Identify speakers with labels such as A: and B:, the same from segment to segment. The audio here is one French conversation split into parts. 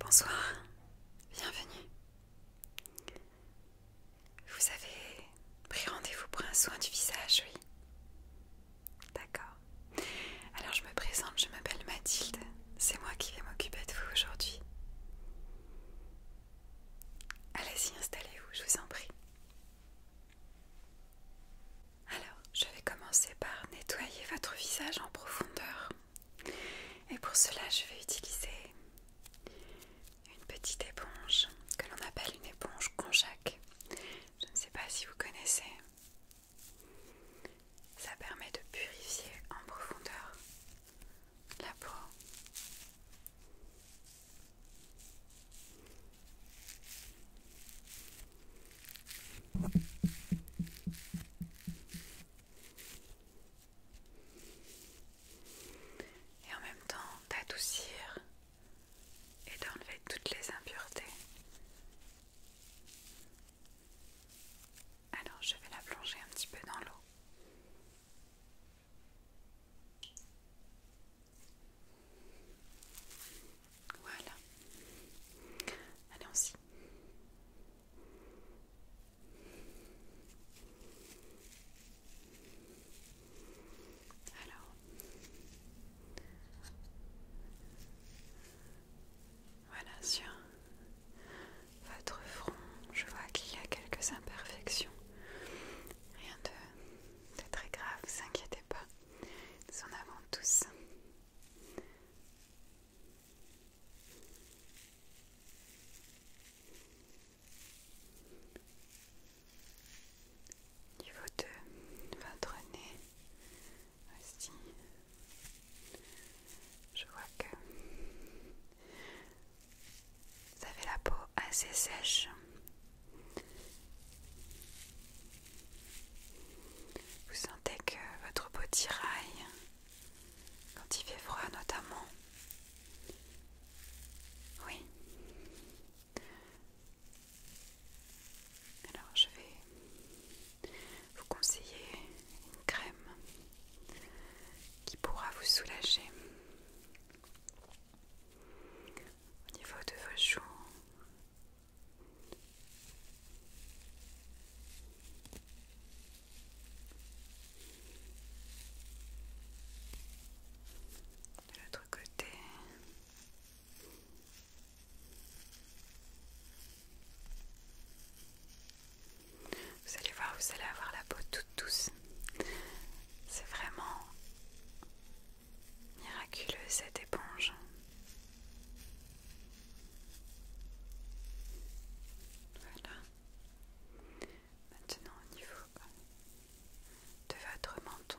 A: Bonsoir, bienvenue. Vous avez pris rendez-vous pour un soin du visage, oui D'accord. Alors je me présente, je m'appelle Mathilde. C'est moi qui vais m'occuper de vous aujourd'hui. Allez-y, installez-vous, je vous en prie. Alors, je vais commencer par nettoyer votre visage en profondeur. Et pour cela, je vais utiliser une petite éponge que l'on appelle une éponge conjac. Je ne sais pas si vous connaissez. Ça permet de purifier en profondeur la peau. Et en même temps d'adoucir et d'enlever toutes les impuretés. Alors je vais la plonger un petit peu dans l'eau. Voilà. Allez y alors, voilà sur votre front, je vois qu'il y a quelques imperfections. Rien de, très grave, ne vous inquiétez pas. Nous en avons tous. Niveau 2, votre nez aussi, je vois que vous avez la peau assez sèche. Vous sentez que votre peau tiraille quand il fait froid notamment. Oui. Alors je vais vous conseiller une crème qui pourra vous soulager au niveau de vos joues, de l'autre côté. Vous allez voir, vous allez avoir la peau toute douce. C'est vraiment miraculeux cette éponge. Voilà. Maintenant au niveau de votre menton.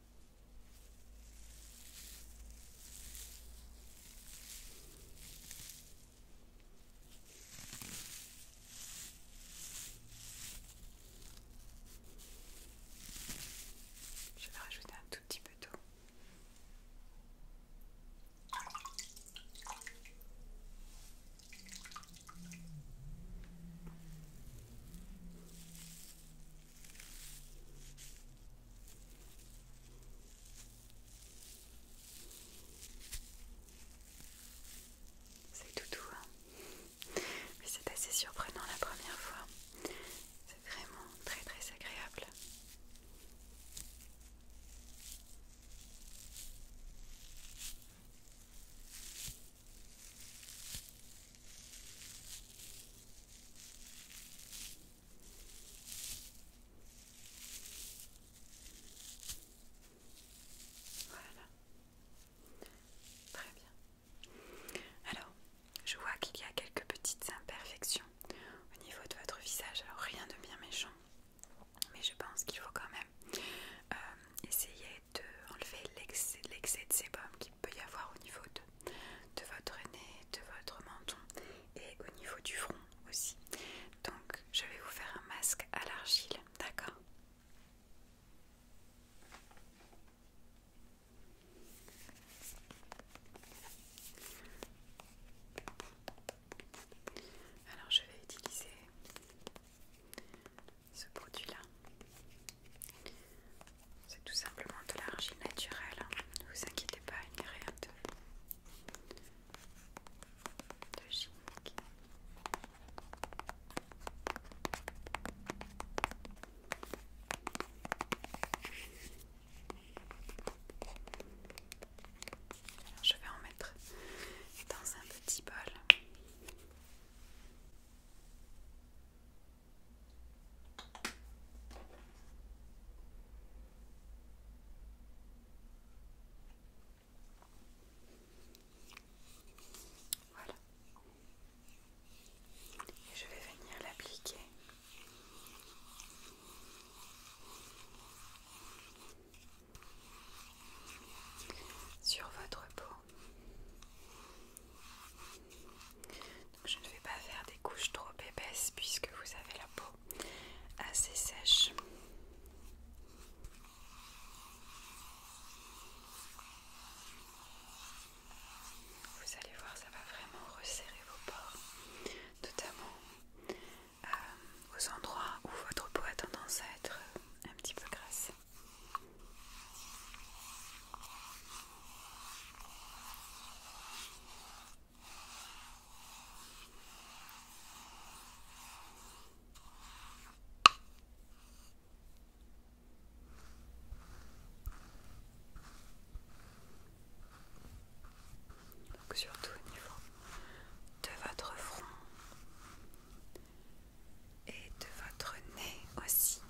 A: Je vais rajouter un tout petit peu d'eau. C'est tout doux, hein Mais c'est assez surprenant la première fois. C'est vraiment très très agréable. Voilà. Très bien. Alors, je vois qu'il y a quelques petites imperfections au niveau de votre visage. Alors, rien de bien méchant. Mais je pense qu'il faut quand même euh, essayer de enlever l'excès de sébum qui peut y avoir au niveau de votre nez, de votre menton et au niveau du front aussi. Donc je vais vous faire un masque à l'argile, d'accord alors je vais utiliser ce produit là c'est tout simplement de l'argile naturelle. Hein. Ne vous inquiétez pas, il n'y a rien de, de chimique. Alors je vais en mettre dans un petit bol. Voilà. Et je vais venir l'appliquer. Sur votre peau je ne vais pas faire des couches trop épaisses puisque vous avez la peau assez sèche. Vous allez voir, ça va vraiment resserrer vos pores, notamment euh, aux endroits où votre peau a tendance à être euh, un petit peu grasse surtout au niveau de votre front et de votre nez aussi.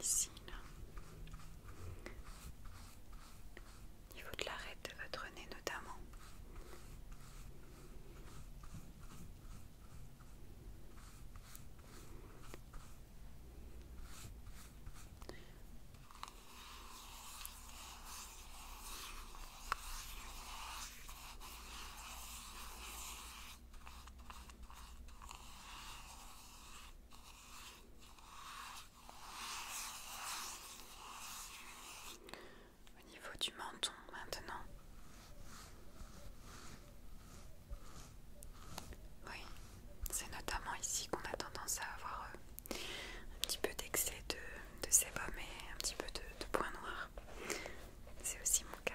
A: Ici, là. niveau de l'arête de votre nez notamment. Au niveau du menton maintenant. Oui, c'est notamment ici qu'on a tendance à avoir euh, un petit peu d'excès de, de sébum et un petit peu de, points noirs. C'est aussi mon cas.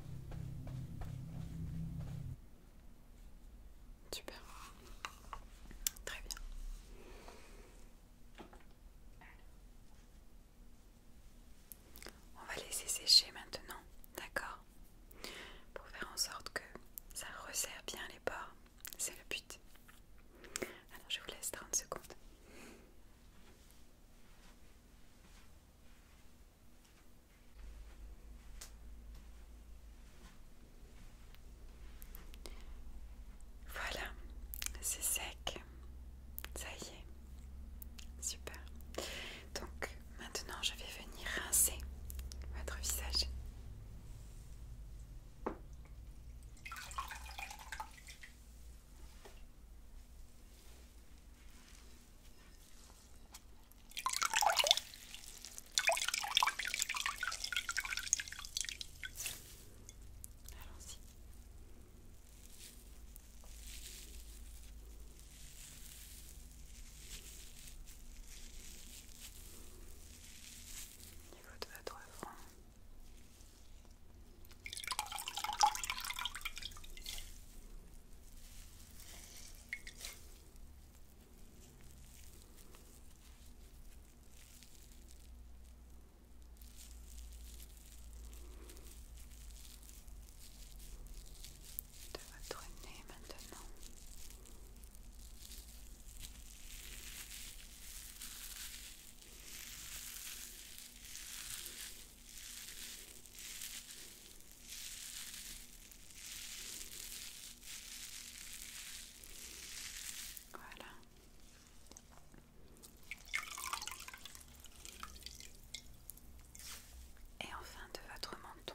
A: Super. Très bien. On va laisser sécher maintenant, d'accord Pour faire en sorte que ça resserre bien les bords. C'est le but. Alors je vous laisse 30 secondes. Voilà, c'est sec. Ça y est. Super. Donc maintenant, je vais venir rincer votre visage. Allons-y. Au niveau de votre front de votre nez maintenant. Et enfin de votre menton.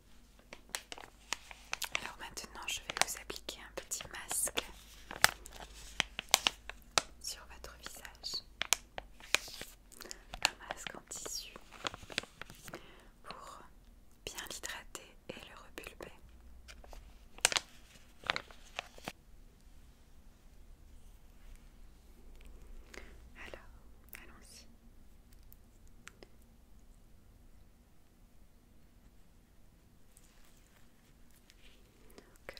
A: Alors maintenant, je vais vous appliquer un petit masque sur votre visage. Un masque en tissu pour bien l'hydrater et le repulper. Alors, allons-y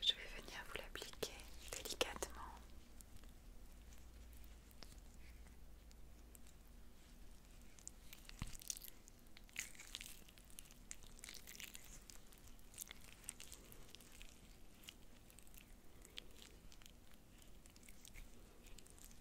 A: je vais venir vous l'appliquer délicatement.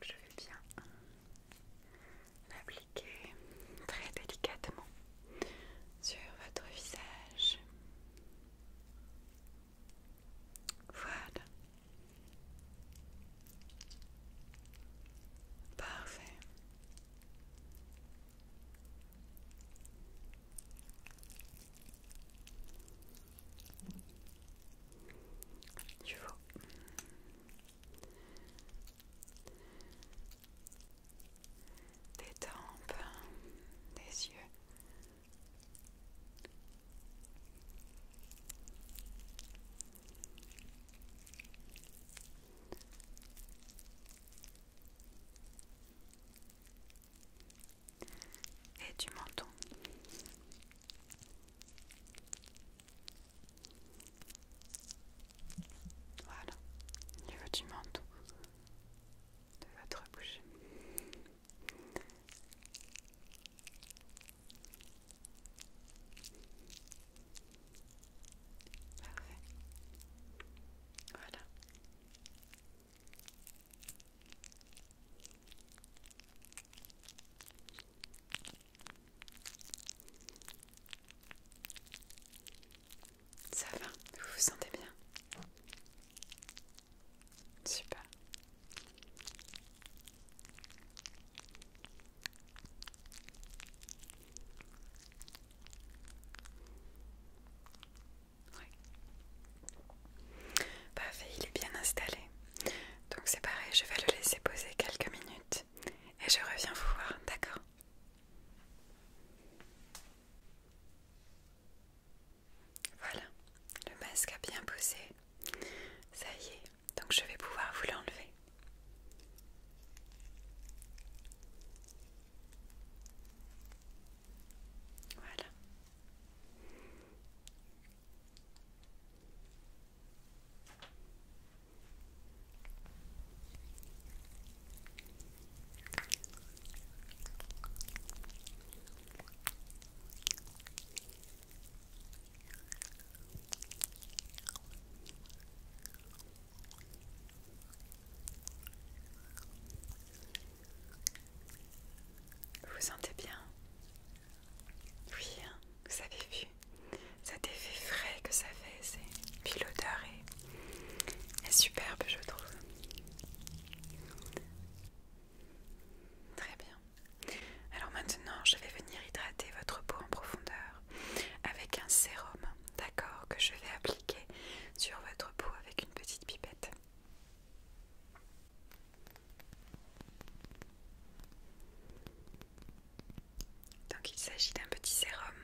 A: je vais bien l'appliquer très délicatement sur votre visage. Voilà. Parfait des tempes, des yeux. Et du menton. Voilà, au niveau du menton de votre bouche. Parfait. Voilà. Ça va, vous vous sentez bien Super. Oui. Parfait, il est bien installé. Donc c'est pareil, je vais le laisser poser quelques minutes et je reviens vous voir, d'accord Voilà, le masque a bien posé. Ça y est, donc je vais pouvoir vous l'enlever. Voilà. Vous sentez bien Oui, hein, vous avez vu cet effet frais que ça fait, c'est puis l'odeur est superbe je trouve. Très bien. Alors maintenant, je vais venir hydrater votre peau en profondeur avec un sérum, d'accord, que je vais appliquer sur votre peau avec une petite pipette. Donc il s'agit d'un petit sérum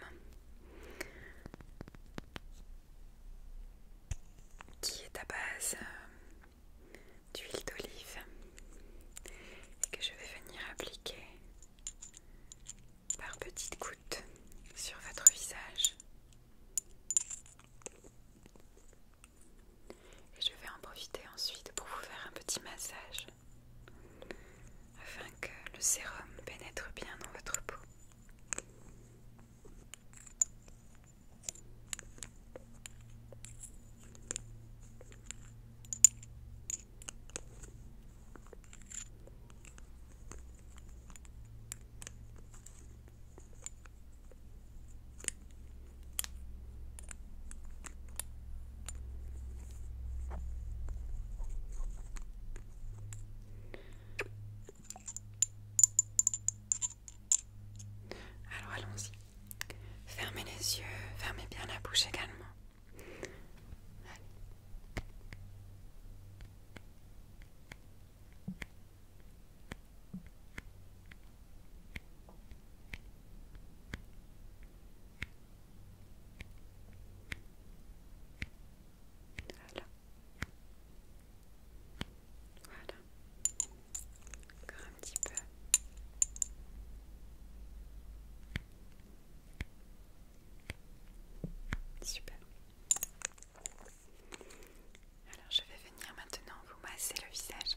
A: qui est à base euh, d'huile d'olive et que je vais venir appliquer par petites gouttes sur votre visage. Et je vais en profiter ensuite pour vous faire un petit massage afin que le sérum pénètre bien dans votre peau. Alors allons-y. Fermez les yeux, fermez bien la bouche également. Voilà. Voilà. Encore un petit peu. Super. Alors je vais venir maintenant vous masser le visage.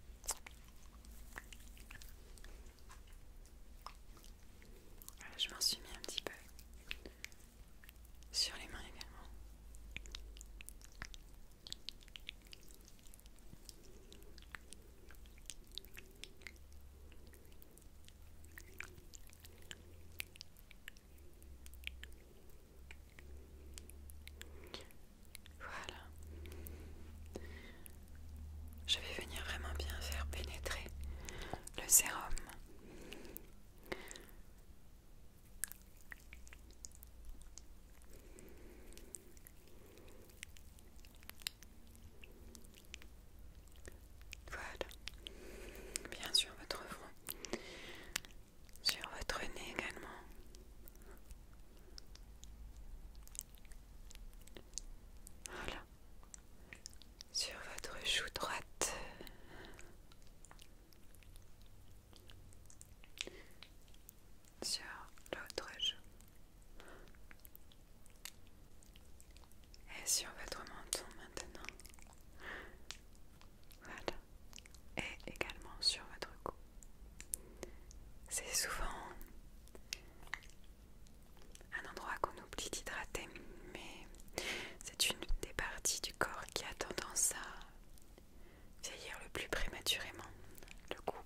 A: Euh, je m'en suis mis un petit peu sur les mains également. Voilà. Je vais venir vraiment bien faire pénétrer le sérum. Voilà. Bien sur votre front. Sur votre nez également. Voilà. Sur votre joue droite. Sur l'autre joue. Et sur votre menton maintenant. Voilà. Et également sur votre cou. C'est souvent un endroit qu'on oublie d'hydrater, mais c'est une des parties du corps qui a tendance à vieillir le plus prématurément, le cou.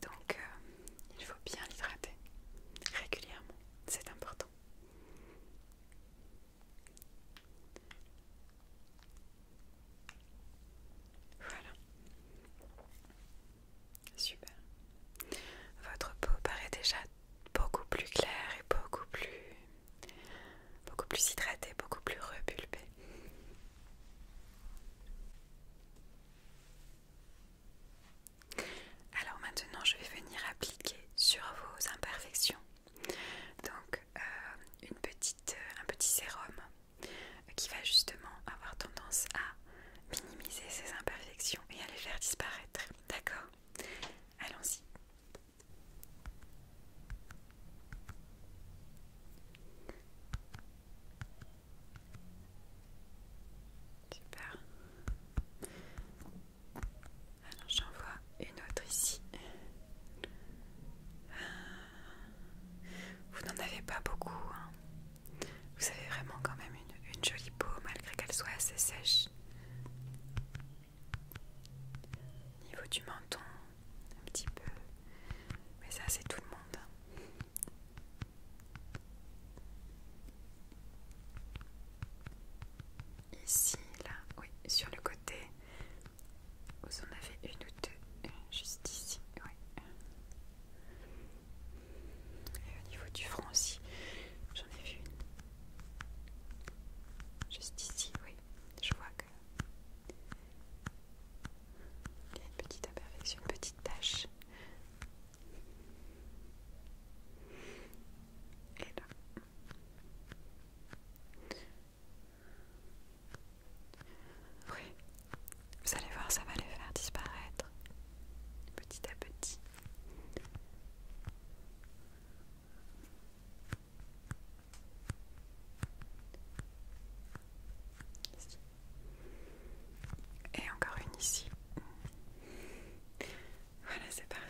A: Donc, euh, il faut bien l'hydrater régulièrement, c'est important. Voilà. Super. Votre peau paraît déjà beaucoup plus claire et beaucoup plus beaucoup plus hydratée, beaucoup plus repulpée. Alors maintenant, je vais venir appliquer sur vos imperfections donc euh, une petite, euh, un petit sérum qui va justement avoir tendance à minimiser ces imperfections et à les faire disparaître. D'accord Allons-y. Super. Alors j'en vois une autre ici. Euh, vous n'en avez pas beaucoup. Hein. Vous avez vraiment quand même une, une jolie peau malgré qu'elle soit assez sèche. Niveau du menton, un petit peu. Mais ça c'est tout le monde. Hein. Ici, là, oui, sur le côté. Vous en avez une ou deux juste ici, oui. Et au niveau du front aussi, j'en ai vu une. Juste ici, oui. Je vois que. Il y a une petite imperfection, une petite tache. Et là. Oui, vous allez voir, ça va les faire disparaître petit à petit. Et encore une ici. Voilà, c'est parfait.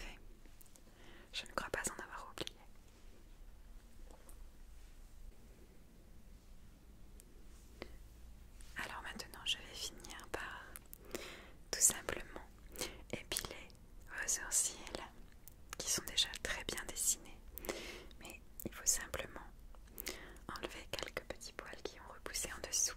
A: Je ne crois pas en avoir oublié. Alors maintenant, je vais finir par tout simplement épiler vos sourcils qui sont déjà très bien dessinés. Mais il faut simplement enlever quelques petits poils qui ont repoussé en dessous.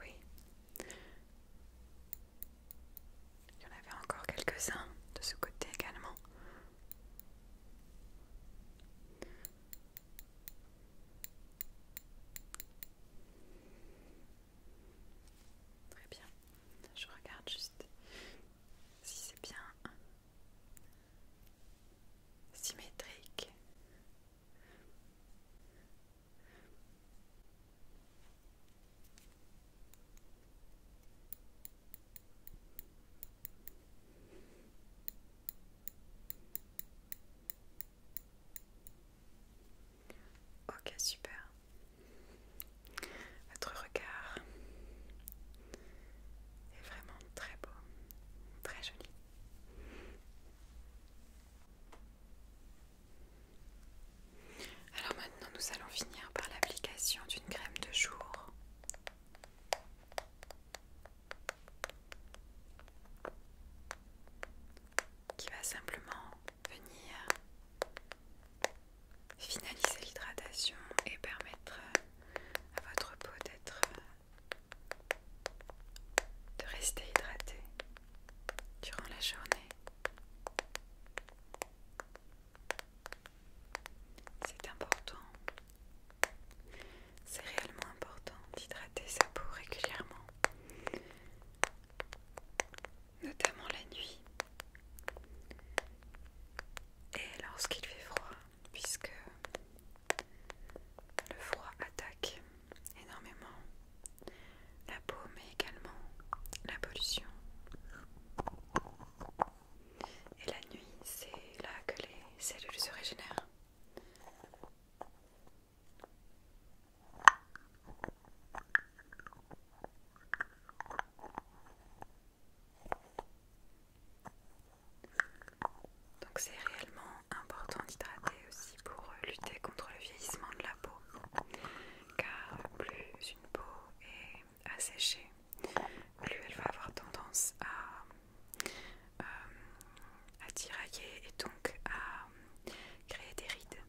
A: Oui. Il y en avait encore quelques-uns de ce côté également. Très bien. Je regarde juste si c'est bien symétrique. Ok, super. Votre regard est vraiment très beau, très joli. Alors maintenant, nous allons finir par l'application d'une crème de jour. qui va simplement venir finaliser l'hydratation et permettre euh, à votre peau d'être euh, de rester hydratée durant la journée. C'est important. C'est réellement important d'hydrater sa peau régulièrement notamment la nuit et lorsqu'il fait froid, puisque le froid attaque énormément la peau, mais également la pollution. Et la nuit, c'est là que les cellules se régénèrent. Donc c'est réellement important d'hydrater aussi pour euh, lutter contre le vieillissement de la peau, car plus une peau est asséchée, plus elle va avoir tendance à, euh, à tirailler et donc à créer des rides.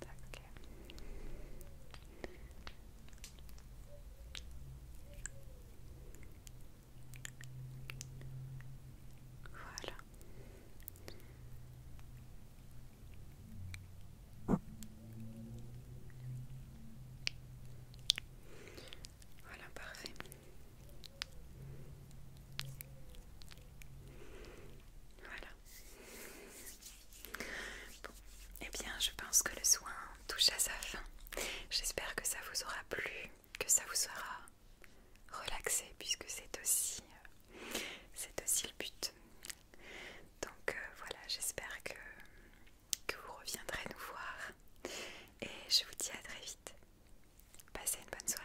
A: Voilà. Voilà, parfait. Voilà eh bien, je pense que le soin touche à sa fin. J'espère que ça vous aura plu, que ça vous sera relaxé, puisque c'est aussi, euh, c'est aussi le but. Donc euh, voilà, j'espère que, que vous reviendrez nous voir. Et je vous dis à très vite. Passez une bonne soirée.